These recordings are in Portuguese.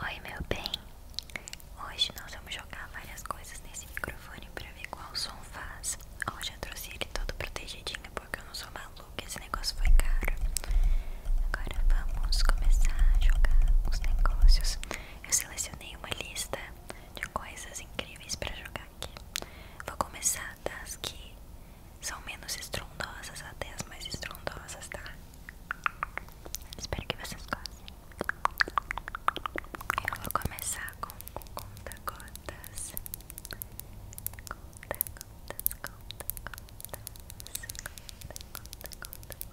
Oi, meu bem. Hoje nós vamos jogar várias coisas nesse microfone pra ver qual som faz. Ó, já trouxe ele todo protegidinho porque eu não sou maluca. Esse negócio foi caro. Agora vamos começar a jogar os negócios. Eu selecionei uma lista de coisas incríveis pra jogar aqui. Vou começar das que são menos estrondosas, até as mais estrondosas, tá? Espero que vocês gostem. Eu vou começar com o conta-gotas. Conta-gotas, conta-gotas, conta-gotas, conta-gotas.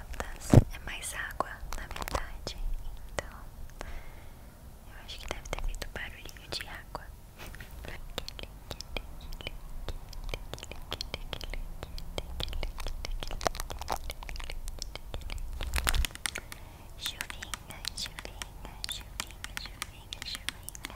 é mais água na verdade, então eu acho que deve ter feito barulhinho de água. Chuvinha, chuvinha, chuvinha, chuvinha, chuvinha.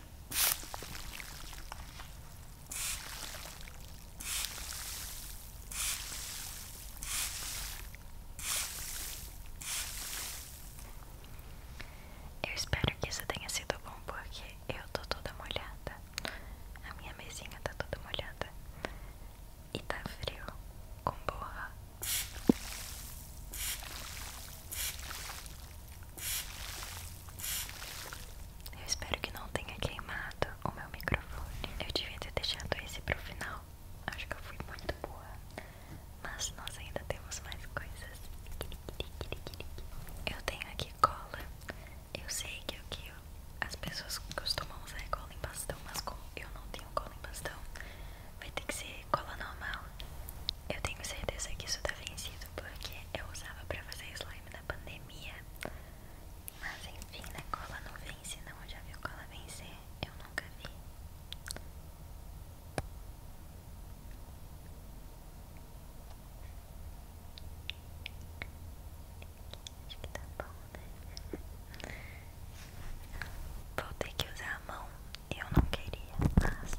Eu espero que isso tenha sido bom porque eu tô toda molhada. A minha mesinha tá toda molhada. E tá frio com borracha. Eu espero que não tenha queimado o meu microfone. Eu devia ter deixado esse pro final. Acho que eu fui muito boa. Mas nós ainda temos mais coisas. Eu tenho aqui cola. Eu sei que, é o que as pessoas costumam usar cola em bastão, mas como eu não tenho cola em bastão, vai ter que ser cola normal. Eu tenho certeza que isso tá vencido porque eu usava pra fazer slime pandemia. Mas enfim, né? Cola não vence, não. Já viu cola vencer? Eu nunca vi. Tá né? Vou ter que usar a mão. Eu não queria, mas.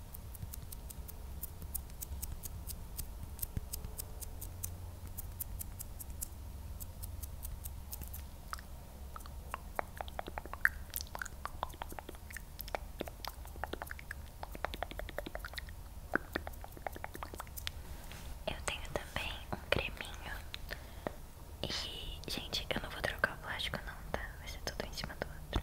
Eu tenho também um creminho. E, gente, eu não vou trocar o plástico, não, tá? Vai ser tudo em cima do outro.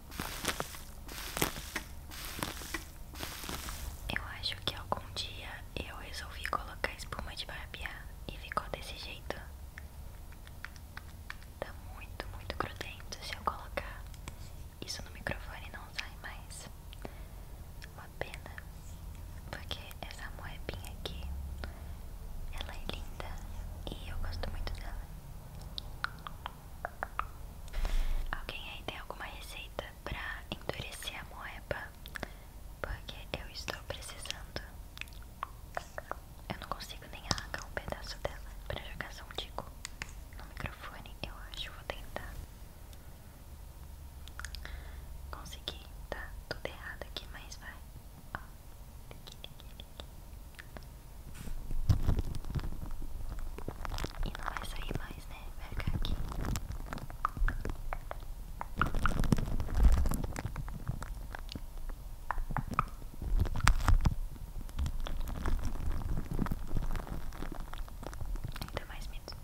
Eu acho que algum dia eu resolvi colocar espuma de barbear e ficou desse jeito. Tá muito, muito grudento. Se eu colocar isso no microfone, não sai mais. Uma pena, porque essa moebinha aqui ela é linda e eu gosto muito dela. Alguém aí tem alguma receita pra endurecer a moeba? Porque eu estou precisando. Eu não consigo nem arrancar um pedaço dela pra jogar só um tico no microfone. Eu acho, que vou tentar. Consegui, tá tudo errado aqui, mas vai. Ó, aqui, aqui, e não vai sair mais, né? Vai aqui. Ainda mais medo.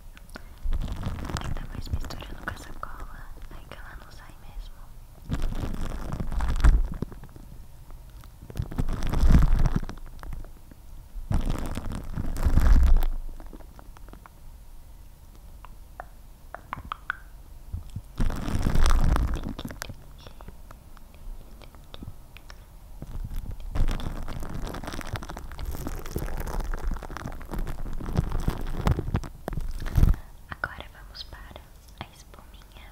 Ainda mais misturando com essa cola. Aí que ela não sai mesmo. Agora vamos para a espuminha.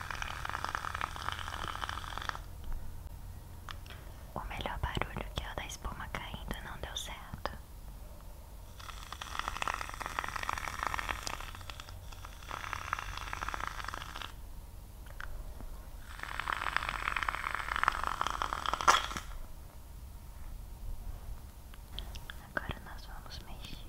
O melhor barulho que é o da espuma caindo não deu certo. Agora nós vamos mexer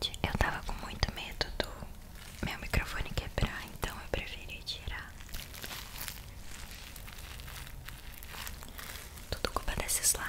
gente, eu tava com muito medo do meu microfone quebrar, então eu preferi tirar. Tudo culpa desse slime.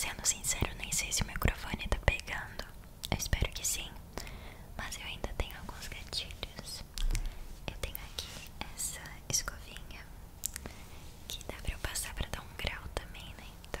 Sendo sincero, nem sei se o microfone está pegando. Eu espero que sim, mas eu ainda tenho alguns gatilhos. Eu tenho aqui essa escovinha que dá pra eu passar pra dar um grau também, né? Então.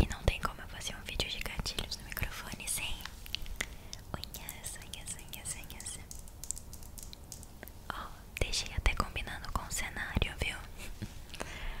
E não tem como eu fazer um vídeo de gatilhos no microfone sem unhas, unhas, unhas, unhas. Ó, deixei até combinando com o cenário, viu?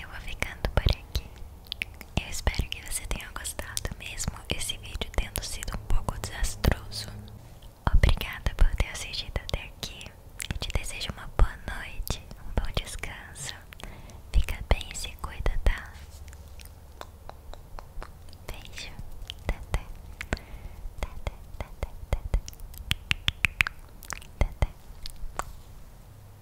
eu vou ficando por aqui. Eu espero que você tenha gostado, mesmo esse vídeo tendo sido um pouco desastroso. Obrigada por ter assistido até aqui e te desejo uma boa noite, um bom descanso. Fica bem e se cuida, tá? Beijo. Tata. Tata, tata, tata. Tata.